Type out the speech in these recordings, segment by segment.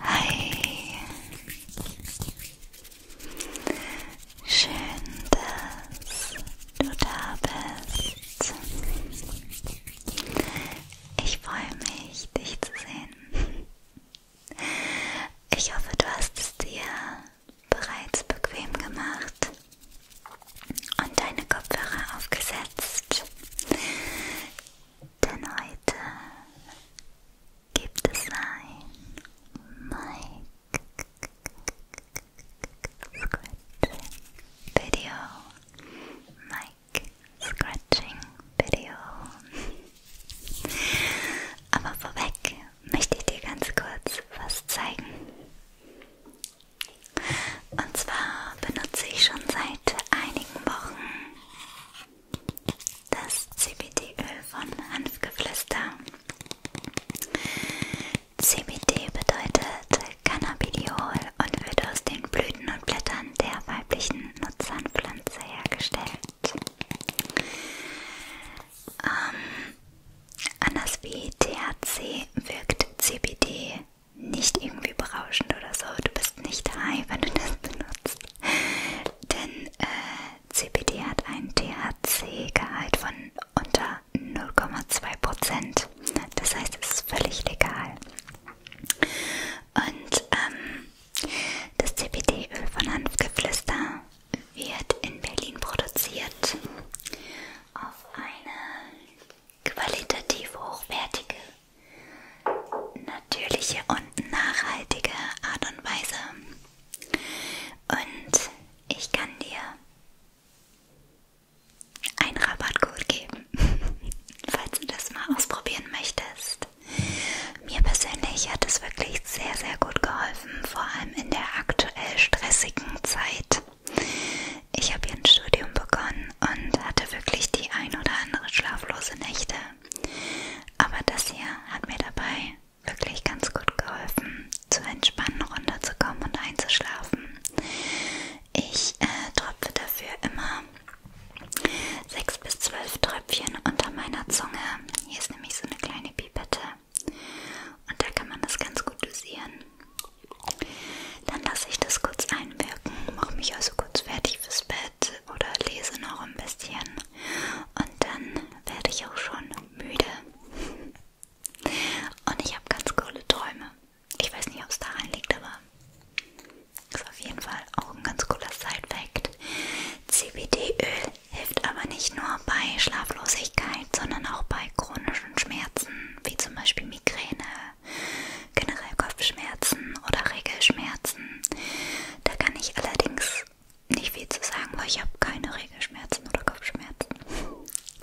Hi. Schön, dass du da bist. Ich freue mich, dich zu sehen. Ich hoffe, du hast es dir bereits bequem gemacht und deine Kopfhörer aufgesetzt. Denn heute gibt es ein Mic Scratching Video. Mic Scratching Video. Aber vorweg möchte ich dir ganz kurz was zeigen. Und zwar benutze ich schon seit einigen Wochen das CBD-Öl von Hanfgeflüster. CBD bedeutet Cannabidiol und wird aus den Blüten und Blättern der weiblichen Nutzernpflanze hergestellt. Ähm, anders wie THC wirkt CBD nicht irgendwie berauschend oder so. Du bist nicht high, wenn du das benutzt. Denn äh, CBD hat einen THC-Gehalt von unter 0,2%. Das heißt, es ist völlig legal. Und ähm, das CBD-Öl von Hanfgeflüster wird in Berlin produziert auf eine qualitativ hochwertige, natürliche und nachhaltige Art und Weise. Und ich kann dir einen Rabattcode geben, falls du das mal ausprobieren möchtest. Mir persönlich hat es wirklich sehr, sehr gut geholfen, vor allem in der aktuell stressigen Zeit. Ich habe hier ein Studium begonnen und hatte wirklich die ein oder andere schlaflose Nächte. Aber das hier hat mir dabei wirklich ganz gut geholfen, zu entspannen, runterzukommen und einzuschlafen. Ich äh, tropfe dafür immer Sechs bis zwölf Tröpfchen unter meiner Zunge. Hier ist nämlich so eine kleine Pipette. Und da kann man das ganz gut dosieren. Dann lasse ich das kurz einwirken, mache mich also kurz fertig fürs Bett oder lese noch ein bisschen. Und dann werde ich auch schon müde. Und ich habe ganz coole Träume. Ich weiß nicht, ob es daran liegt, aber ist auf jeden Fall auch ein ganz cooler Side-Fact. CBD-Öl hilft aber nicht nur bei Schlaflosigkeit, sondern auch bei chronischen Schmerzen, wie zum Beispiel Migräne, generell Kopfschmerzen oder Regelschmerzen. Da kann ich allerdings nicht viel zu sagen, weil ich habe keine Regelschmerzen oder Kopfschmerzen.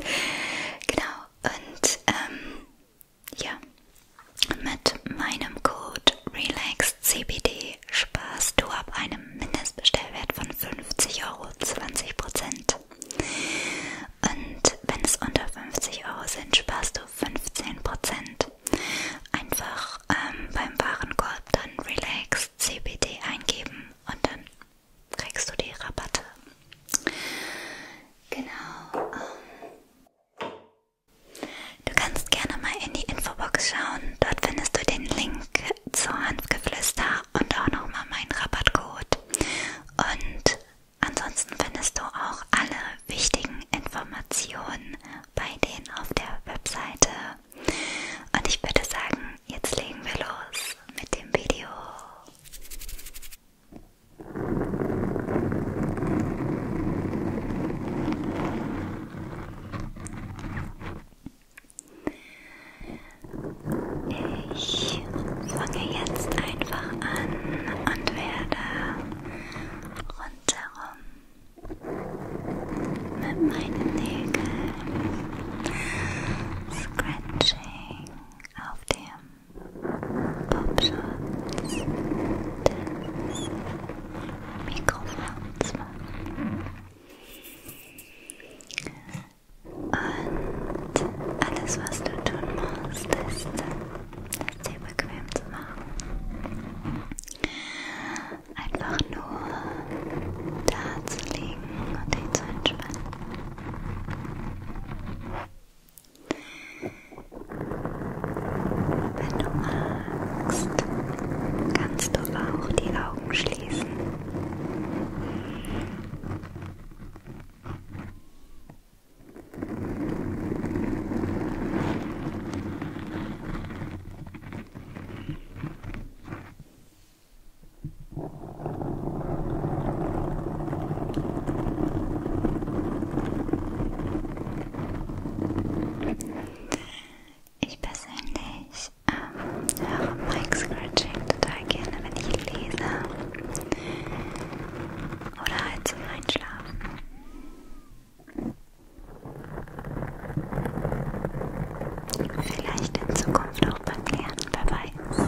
genau, und ähm, ja, mit meinem Code RELAXCBD sparst du ab einem Mindestbestellwert von 50 Euro 20%. Und wenn es unter 50 Euro sind, sparst du 15%. Einfach ähm, beim Warenkorb dann RELAXCBD eingeben und dann kriegst du die Rabatte. Genau. Ähm Du kannst gerne mal in die Infobox schauen. Dort findest du den Link zu Hanfgeflüster und auch nochmal meinen Rabattcode. Und ansonsten findest du auch alle wichtigen Informationen bei denen auf der Webseite. Und ich würde sagen, jetzt legen wir los mit dem Video. Ich fange jetzt einfach an und werde rundherum mit meinen Nägeln scratching auf dem Popschutz des Mikrofons machen. Und alles, was du tun musst, ist, es dir bequem zu machen. Einfach nur da zu liegen und dich zu entspannen. Wenn du magst, kannst du auch die Augen schließen. Wenn ich persönlich ähm, höre Mike Scratching total gerne, wenn ich lese oder halt zum Einschlafen. Vielleicht in Zukunft auch beim Lernen, wer weiß.